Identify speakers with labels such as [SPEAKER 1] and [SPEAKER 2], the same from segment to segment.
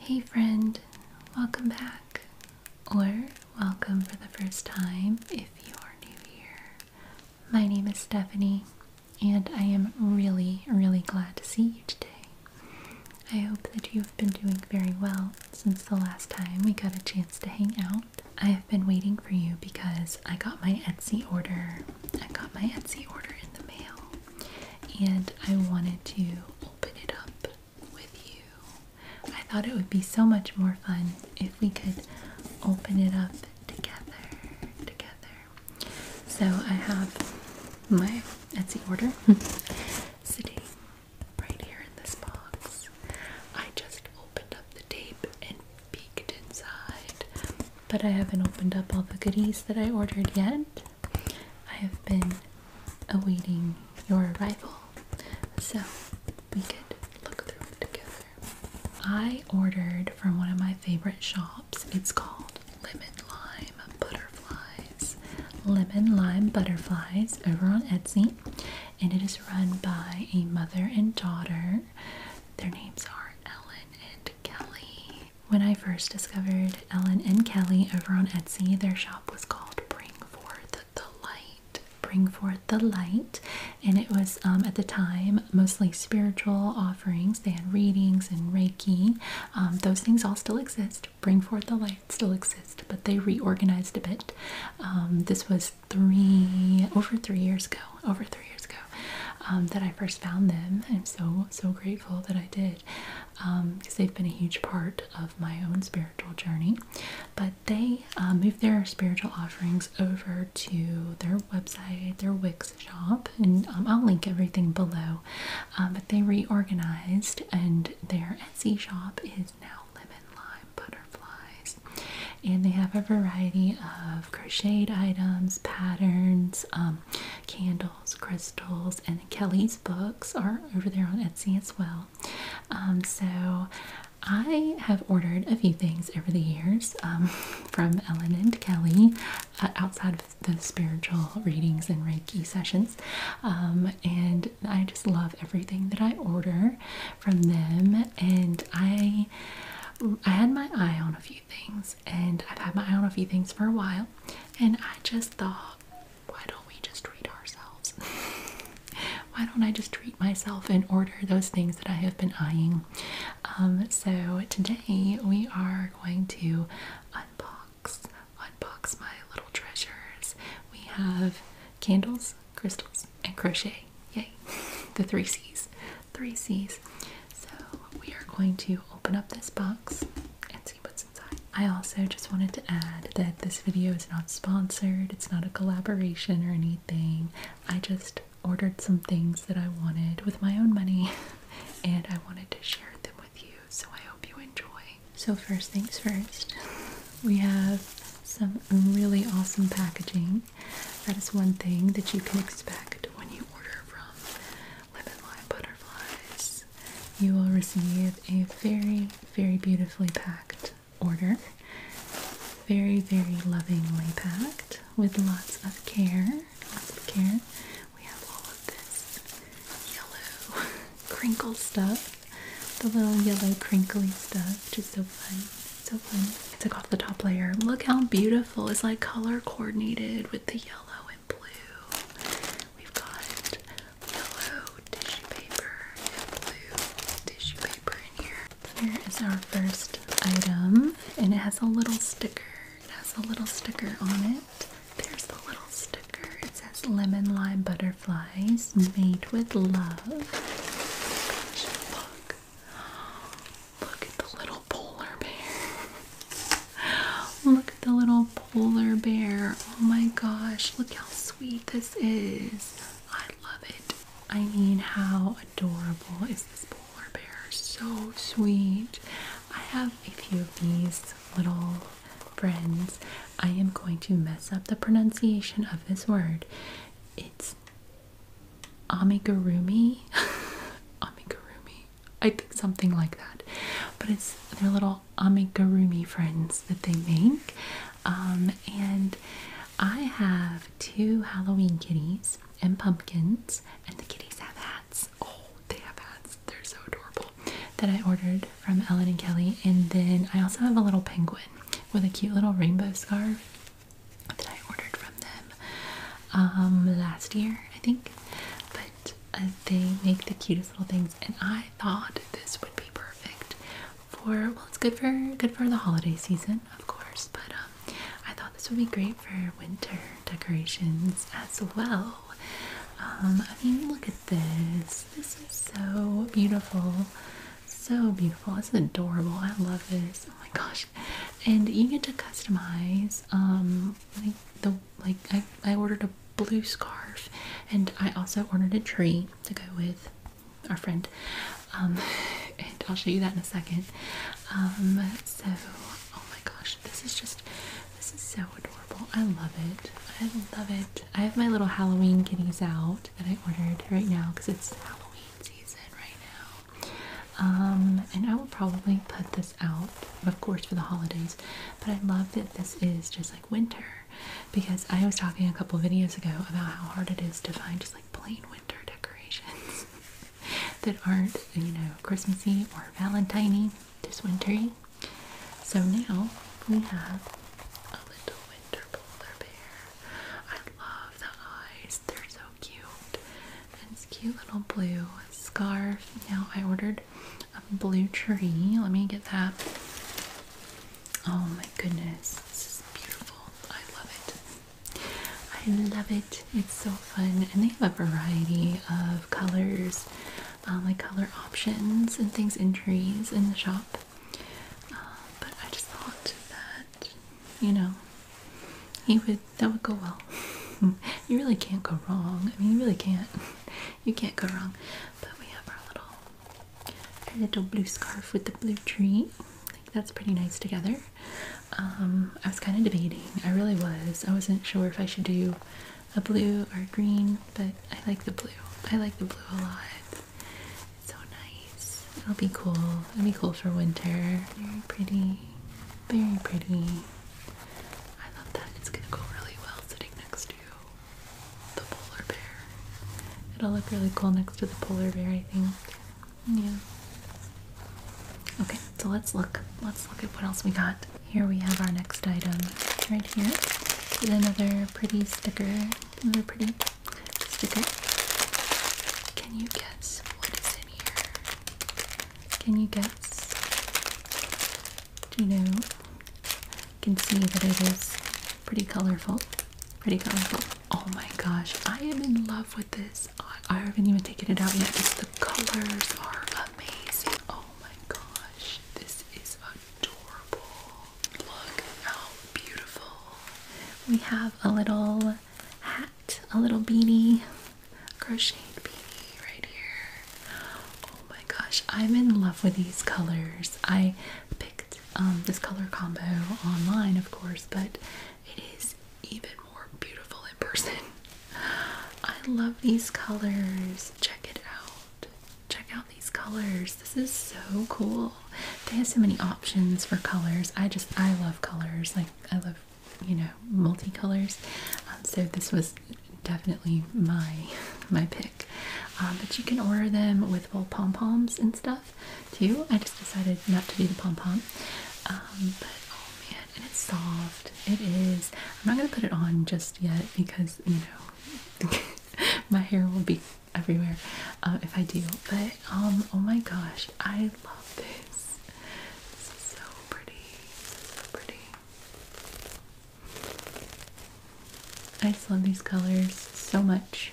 [SPEAKER 1] Hey friend, welcome back, or welcome for the first time if you are new here. My name is Stephanie, and I am really, really glad to see you today. I hope that you have been doing very well since the last time we got a chance to hang out. I have been waiting for you because I got my Etsy order. I got my Etsy order in the mail and I wanted to open it up with you. I thought it would be so much more fun if we could open it up together. Together. So I have my Etsy order sitting right here in this box. I just opened up the tape and peeked inside, but I haven't opened up all the goodies that I ordered yet. I have been awaiting your arrival. So we could look through it together. I ordered from one of my favorite shops. It's called Lemon Lime Butterflies. Lemon Lime Butterflies over on Etsy. And it is run by a mother and daughter. Their names are Ellen and Kelly. When I first discovered Ellen and Kelly over on Etsy, their shop was called Bring Forth the Light. Bring Forth the Light. And it was um, at the time mostly spiritual offerings. They had readings and Reiki. Um, those things all still exist. Bring Forth the Light still exists, but they reorganized a bit. Um, this was three, over three years ago, over three years ago that I first found them. I'm so, so grateful that I did because um, they've been a huge part of my own spiritual journey. But they uh, moved their spiritual offerings over to their website, their Wix shop, and um, I'll link everything below. Um, but they reorganized, and their Etsy shop is now Lemon Lime Butterflies. And they have a variety of crocheted items, patterns, um, candles crystals, and Kelly's books are over there on Etsy as well. Um, so I have ordered a few things over the years um, from Ellen and Kelly uh, outside of the spiritual readings and Reiki sessions. Um, and I just love everything that I order from them. And I, I had my eye on a few things, and I've had my eye on a few things for a while. And I just thought, why don't we just treat ourselves? why don't I just treat myself and order those things that I have been eyeing? Um, so today we are going to unbox, unbox my little treasures. We have candles, crystals, and crochet. Yay! The three C's. Three C's. So we are going to open up this box what's inside. I also just wanted to add that this video is not sponsored, it's not a collaboration or anything. I just ordered some things that I wanted with my own money and I wanted to share them with you, so I hope you enjoy. So, first things first, we have some really awesome packaging. That is one thing that you can expect when you order from Lemon Lime Butterflies you will receive a very, very beautifully packed order. Very, very lovingly packed with lots of care. Lots of care. We have all of this yellow crinkle stuff. The little yellow crinkly stuff. which is so fun. So fun. Took off the top layer. Look how beautiful. It's like color coordinated with the yellow blue. We've got yellow tissue paper and blue tissue paper in here. Here is our first item, and it has a little sticker. It has a little sticker on it. There's the little sticker. It says lemon lime butterflies made with love. look. Look at the little polar bear. Look at the little polar bear. Oh my gosh, look how sweet this is. I love it. I mean, how adorable is this polar bear? So sweet. I have a few of these little friends. I am going to mess up the pronunciation of this word. It's amigurumi. amigurumi. I think something like that. But it's they're little amigurumi friends that they make. Um, and I have two Halloween kitties and pumpkins, and the kitties have hats. Oh, they have hats. They're so adorable. That I ordered from Ellen and Kelly. And then I also have a little penguin with a cute little rainbow scarf that I ordered from them um, last year, I think. But they make the cutest little things and I thought this would be perfect for well it's good for good for the holiday season of course but um I thought this would be great for winter decorations as well um I mean look at this this is so beautiful so beautiful This is adorable I love this oh my gosh and you get to customize um like the like I, I ordered a blue scarf, and I also ordered a tree to go with our friend. Um, and I'll show you that in a second. Um, so, oh my gosh, this is just this is so adorable. I love it. I love it. I have my little Halloween kitties out that I ordered right now because it's Halloween season right now. Um, and I will probably put this out, of course, for the holidays. But I love that this is just like winter because I was talking a couple videos ago about how hard it is to find just like plain winter decorations that aren't, you know, Christmassy or Valentine-y, just wintry. So now we have a little winter polar bear. I love the eyes, they're so cute. And this cute little blue scarf. Now I ordered a blue tree. Let me get that. Oh my goodness, this is beautiful. I love it. I love it. It's so fun, and they have a variety of colors, um, like color options and things in trees in the shop. Um, but I just thought that you know he would that would go well. you really can't go wrong. I mean, you really can't. You can't go wrong. But we have our little a little blue scarf with the blue tree. I think that's pretty nice together. Um, I was kind of debating. I really was. I wasn't sure if I should do a blue or a green, but I like the blue. I like the blue a lot. It's so nice. It'll be cool. It'll be cool for winter. Very pretty. Very pretty. I love that. It's gonna go really well sitting next to the polar bear. It'll look really cool next to the polar bear, I think. Yeah. Okay, so let's look. Let's look at what else we got. Here we have our next item right here. another pretty sticker. Another pretty sticker. Can you guess what is in here? Can you guess? Do you know? can see that it is pretty colorful. Pretty colorful. Oh my gosh, I am in love with this. I, haven't even taken it out yet. Just the colors are amazing. Oh my gosh, this is adorable. Look how beautiful. We have a little hat, a little beanie, crocheted beanie right here. Oh my gosh, I'm in love with these colors. I picked um, this color combo online, of course, but it is even more beautiful in person. I love these colors. Check it out. Check out these colors. This is so cool. They have so many options for colors. I just, I love colors. Like, I love, you know, multicolors. Um, so this was definitely my my pick um, but you can order them with little pom poms and stuff too. I just decided not to do the pom pom. Um, but oh man, and it's soft. It is. I'm not gonna put it on just yet because you know my hair will be everywhere uh, if I do. But um, oh my gosh, I love this. so pretty. So pretty. I just love these colors so much.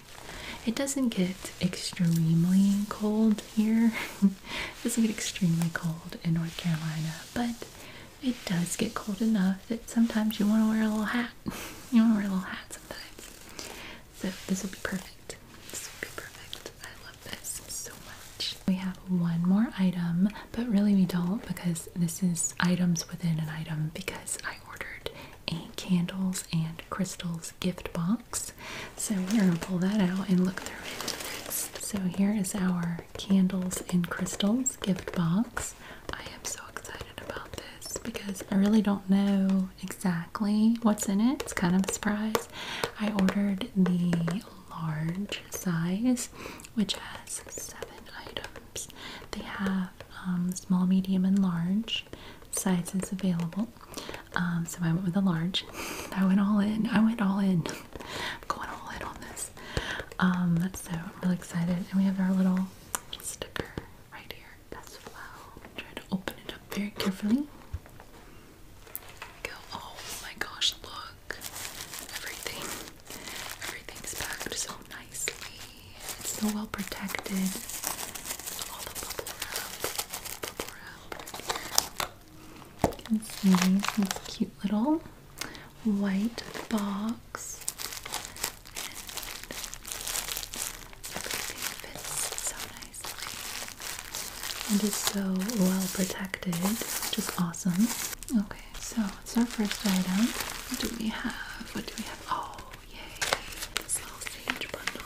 [SPEAKER 1] It doesn't get extremely cold here. it doesn't get extremely cold in North Carolina, but it does get cold enough that sometimes you want to wear a little hat. you want to wear a little hat sometimes. So this will be perfect. This will be perfect. I love this so much. We have one more item, but really we don't because this is items within an item because I ordered a candles and crystals gift box. So we're going to pull that out and look through it So here is our candles and crystals gift box. I am so excited about this because I really don't know exactly what's in it. It's kind of a surprise. I ordered the large size, which has seven items. They have um, small, medium, and large sizes available. Um, so I went with a large. I went all in. I went all in. I'm going all in on this. Um, so I'm really excited. And we have our little sticker right here That's well. Trying to open it up very carefully. Oh my gosh, look. Everything. Everything's packed so nicely. It's so well protected. All the bubble cute little white box. And fits so nicely. And is so well protected, which is awesome. Okay, so it's our first item. What do we have? What do we have? Oh, Oh, yay! sage bundle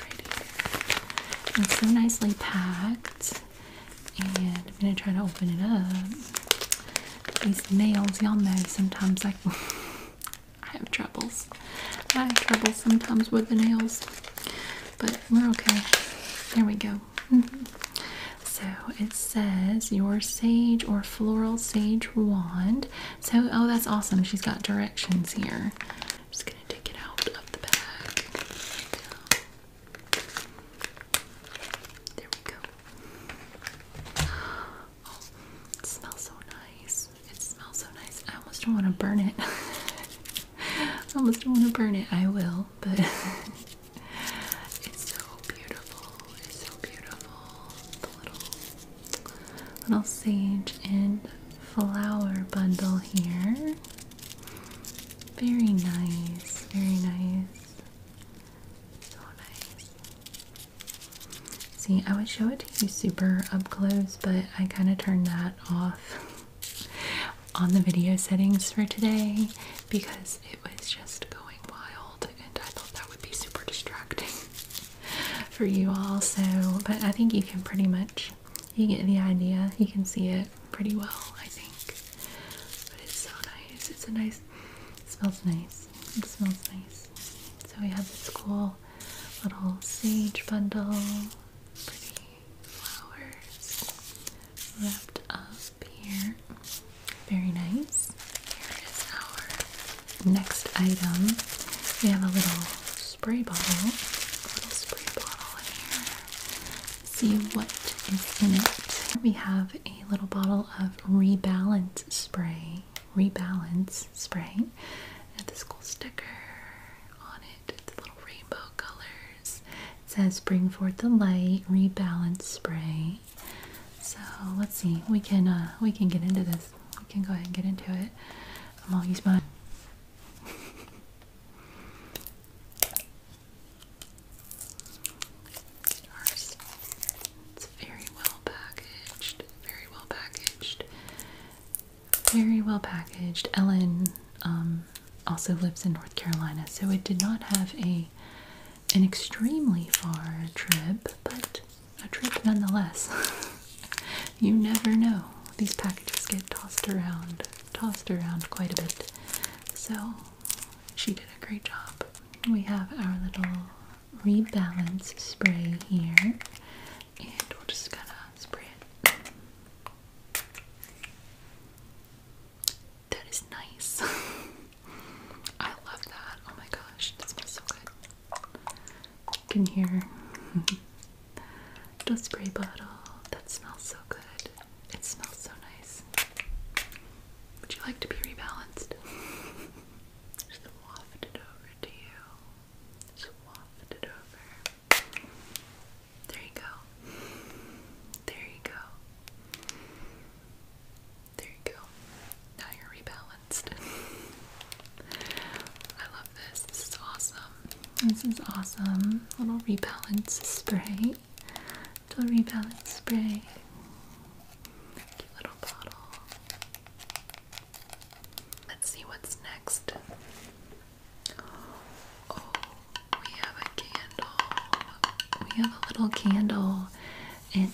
[SPEAKER 1] right It's so nicely packed, and I'm gonna try to open it up. These nails, y'all know, sometimes I, I have troubles. I have troubles sometimes with the nails, but we're okay. There we go. Mm-hmm. So it says your sage or floral sage wand so, oh, that's awesome. She's got directions here. I'm just going to take it out of the bag. There we go. Oh, it smells so nice. It smells so nice. I almost don't want to burn it. I almost don't want to burn it. I will, but it's so beautiful so beautiful. The little little sage and flower bundle here. Very nice, very nice. So nice. See, I would show it to you super up close, but I kind of turned that off on the video settings for today because it was just going wild and I thought that would be super distracting. for you all. So, but I think you can pretty much you get the idea. You can see it pretty well, I think. But it's so nice. It's a nice. smells nice. It smells nice. So we have this cool little sage bundle. Pretty flowers wrapped up here. Very nice. Next item, we have a little spray bottle. little spray bottle here. See what is in it. We have a little bottle of rebalance spray. Rebalance spray. And this cool sticker on it. It's little rainbow colors. It says bring forth the light, rebalance spray. So let's see. We can uh, we can get into this guys. We can go ahead and get into it. I'm gonna use It's very well packaged. Very well packaged. Very well packaged. Ellen um, also lives in North Carolina, so it did not have a an extremely far trip, but a trip nonetheless. you never know. These packages get tossed around, tossed around quite a bit. So she did a great job. We have our little rebalance spray here, and we'll just kind of spray it. That is nice. I love that. Oh my gosh, that smells so good. You can hear the spray bottle. That smells so good. It smells so nice. Would you like to be rebalanced? Just waft it over to you. Just it over. There you go. There you go. There you go. Now you're rebalanced. I love this. This is awesome. This is awesome. Little rebalance spray. Little rebalance spray. Cute little bottle. Let's see what's next. Oh, we have a candle. We have a little candle. And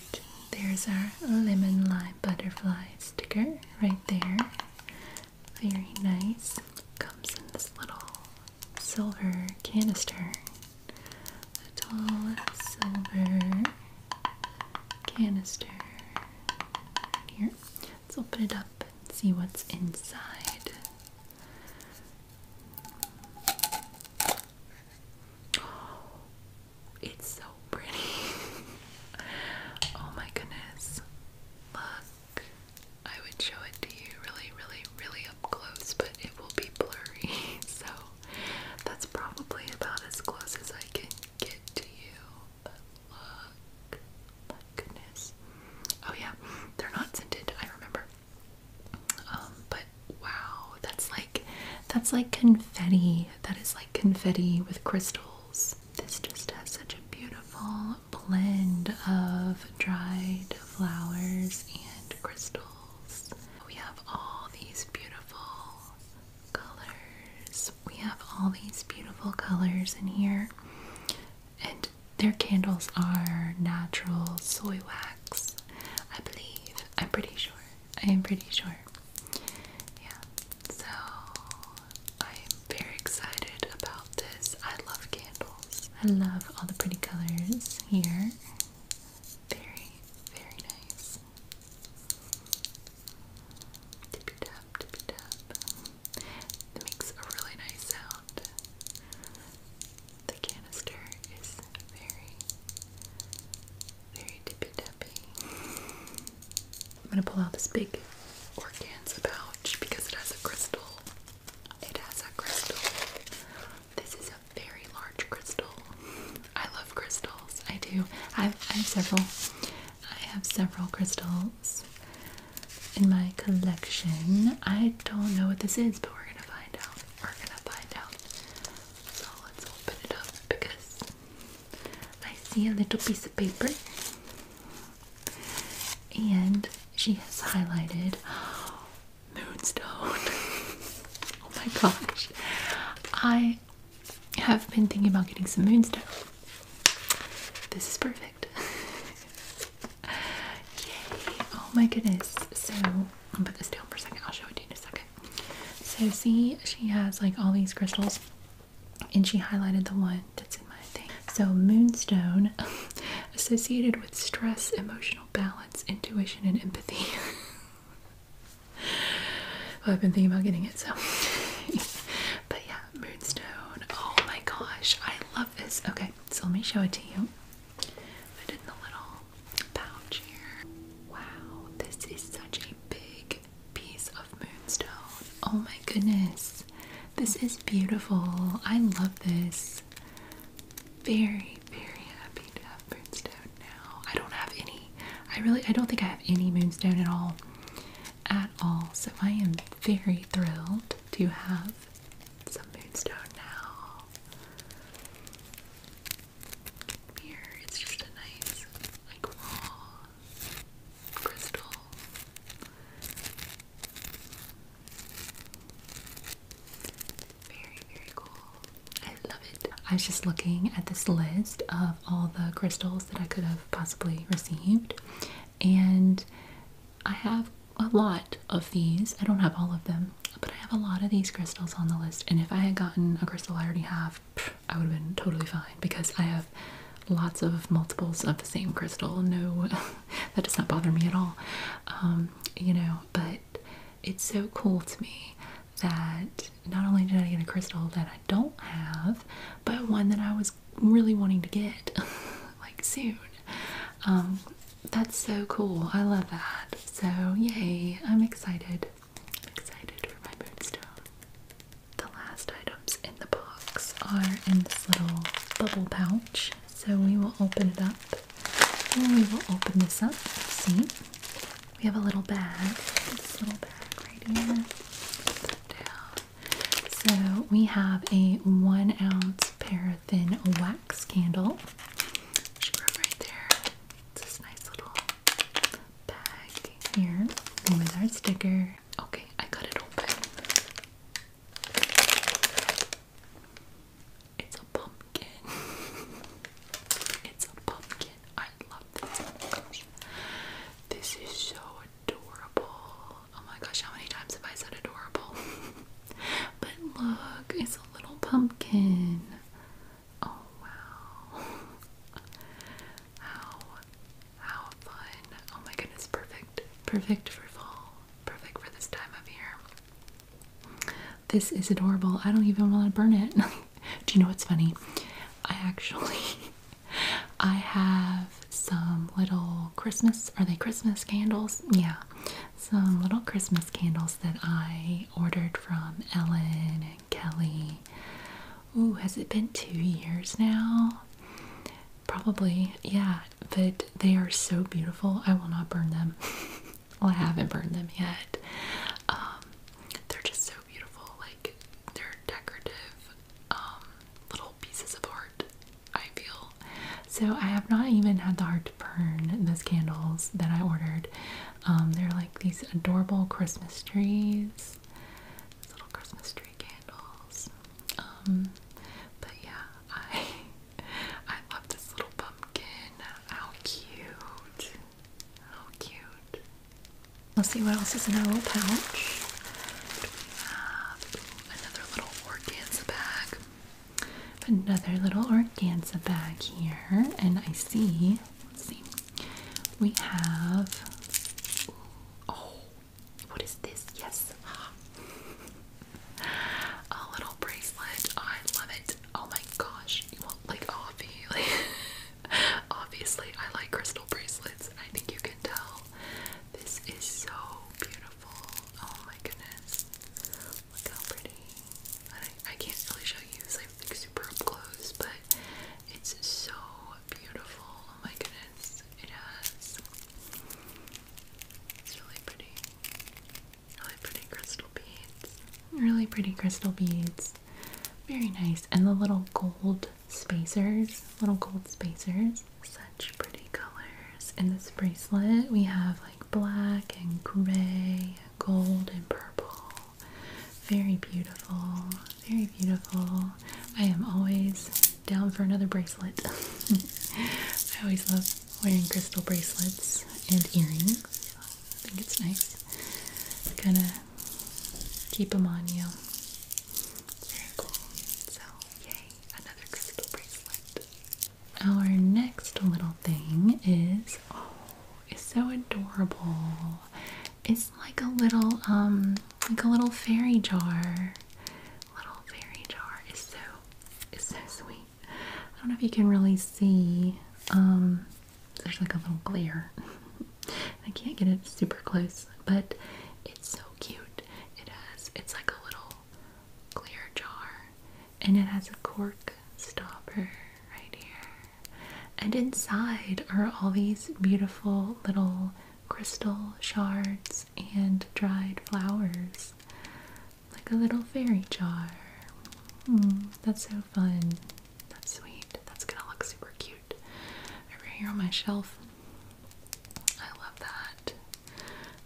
[SPEAKER 1] there's our lemon lime butterflies sticker right there. Very nice. Comes in this little silver canister. A tall silver canister here. Let's open it up and see what's inside. It's so pretty. oh my goodness. Look. I would show it to you really, really, really up close, but it will be blurry. so that's probably about as close as I can get to you. look. My goodness. Oh yeah, they're not scented, I remember. Um, but wow, that's like that's like confetti. That is like confetti with crystals. This just has such a beautiful blend of dried flowers and crystals. We have all these beautiful colors. We have all these beautiful colors in here. And their candles are natural soy wax, I believe. I'm pretty sure. I am pretty sure yeah, so I'm very excited about this. I love candles. I love all the pretty colors here. Very, very nice. Tippy tap, tippy tap. It makes a really nice sound. The canister is very, very tippy tappy. I'm gonna pull out this big organza pouch because it has a crystal. It has a crystal. This is a very large crystal. I love crystals. I do. I have, several. I have several crystals in my collection. I don't know what this is, but we're gonna find out. We're gonna find out. So let's open it up because I see a little piece of paper, and she has highlighted Moonstone. oh my gosh, I have been thinking about getting some Moonstone. This is perfect. Yay! Oh my goodness. So i am gonna put this down for a second. I'll show it to you in a second. So see, she has like all these crystals and she highlighted the one that's in my thing. So, moonstone associated with stress, emotional balance, intuition, and empathy. well, I've been thinking about getting it, so. but yeah, moonstone. Oh my gosh, I love this. Okay, so let me show it to you. Put in the little pouch here. Wow, this is such a big piece of moonstone. Oh my goodness. This is beautiful. I love this. Very, very happy to have moonstone now. I don't have any. I really I don't think I have any moonstone at all. At all. So I am very thrilled to have some moonstone now. Here, it's just a nice like raw crystal. Very, very cool. I love it. I was just looking at this list of all the crystals that I could have possibly received, and I have a lot of these. I don't have all of them, but I have a lot of these crystals on the list. And if I had gotten a crystal I already have, I would have been totally fine because I have lots of multiples of the same crystal. No, that does not bother me at all. Um, you know, but it's so cool to me that not only did I get a crystal that I don't have, but one that I was really wanting to get like soon. Um, that's so cool. I love that. So, yay, I'm excited. excited for my moonstone the last items in the box are in this little bubble pouch. So we will open it up. we will open this up. See? We have a little bag. This little bag right here. So we have a one ounce paraffin wax candle. right there. It's this nice little bag here with our sticker Okay, I cut it open. It's a pumpkin. it's a pumpkin. I love this. Oh This is so adorable. Oh my gosh, how many times have I said adorable? but look, it's a little pumpkin. Oh wow. How how fun. Oh my goodness, perfect. Perfect for fall. Perfect for this time of year. This is adorable. I don't even want to burn it. Do you know what's funny? I actually I have some little Christmas, are they Christmas candles? Yeah. Some little Christmas candles that I ordered from Ellen and Kelly Oh, has it been two years now? Probably, yeah. But they are so beautiful. I will not burn them. well, I haven't burned them yet. Um, they're just so beautiful. Like they're decorative um, little pieces of art. I feel so. I have not even had the heart to burn those candles that I ordered. Um, they're like these adorable Christmas trees. little Christmas tree candles. Um, but yeah, I I love this little pumpkin. How cute! How cute! We'll see what else is in our little pouch. We have another little organza bag. Another little organza bag here, and I see. see. We have. oh, what is this? Yes. a little bracelet. I love it. Oh my gosh. You like obvi obviously I like crystal bracelets. I think you can tell. This is so beautiful. Oh my goodness. Look how pretty. I, I can't really show you like super up close, but it's so beautiful. Oh my goodness, it has. It's really pretty. Really pretty crystal beads. Really pretty crystal beads. Very nice. And the little gold spacers, little gold spacers. Such pretty colors. In this bracelet, we have like black and gray, gold and purple. Very beautiful. Very beautiful. I am always down for another bracelet. I always love wearing crystal bracelets and earrings. I think it's nice kind of keep them on you. very cool. So, yay, another crystal bracelet. Our next little thing is oh, it's so adorable. It's like a little um like a little fairy jar little fairy jar is so is so sweet. I don't know if you can really see. Um, there's like a little glare. I can't get it super close, but it's so cute. It has it's like a little clear jar, and it has a cork stopper right here. And inside are all these beautiful little crystal shards and dried flowers. Like a little fairy jar. Hmm, that's so fun. That's sweet. That's gonna look super cute over here on my shelf. I love that.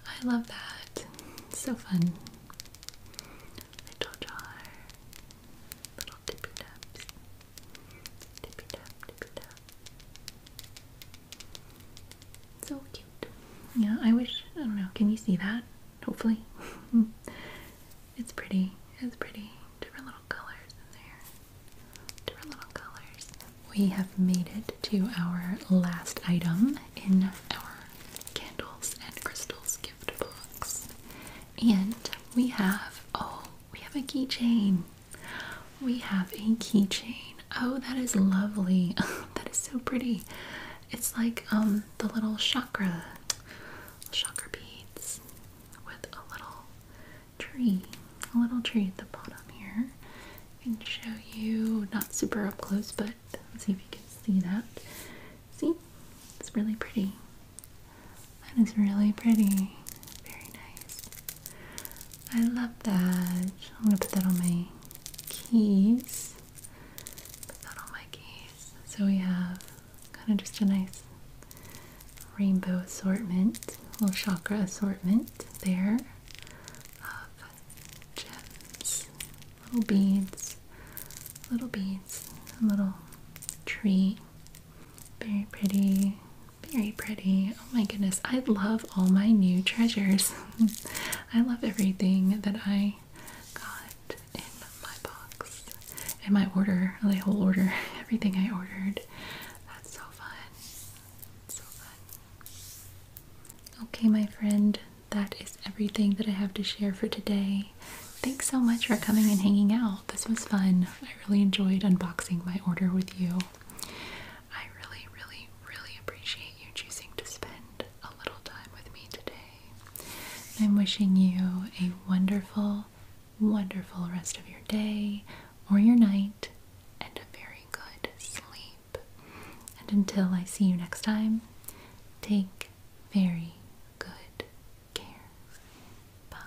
[SPEAKER 1] I love that. so fun. Little jar. Little tippy taps. Tippy tap, tippy tap. So cute. Yeah, I wish, I don't know, can you see that? Hopefully. it's pretty. It's pretty. Different little colors in there. Different little colors. We have made it to our last item in our candles and crystals gift box. And we have, oh, we have a keychain. We have a keychain. Oh, that is lovely. that is so pretty. It's like um, the little chakra chakra beads with a little tree. A little tree at the bottom here. I can show you not super up close, but see if you can see that. See? It's really pretty. That is really pretty. Very nice. I love that. I'm gonna put that on my keys. Put that on my keys. So we have kind of just a nice rainbow assortment, little chakra assortment there of little beads, little beads, a little tree. Very pretty. Very pretty. Oh my goodness, I love all my new treasures. I love everything that I got in my box, in my order, the whole order, everything I ordered. That's so fun. so fun. Okay, my friend, that is everything that I have to share for today. Thanks so much for coming and hanging out. This was fun. I really enjoyed unboxing my order with you. I really, really, really appreciate you choosing to spend a little time with me today. I'm wishing you a wonderful, wonderful rest of your day or your night and a very good sleep. And until I see you next time, take very good care. Bye.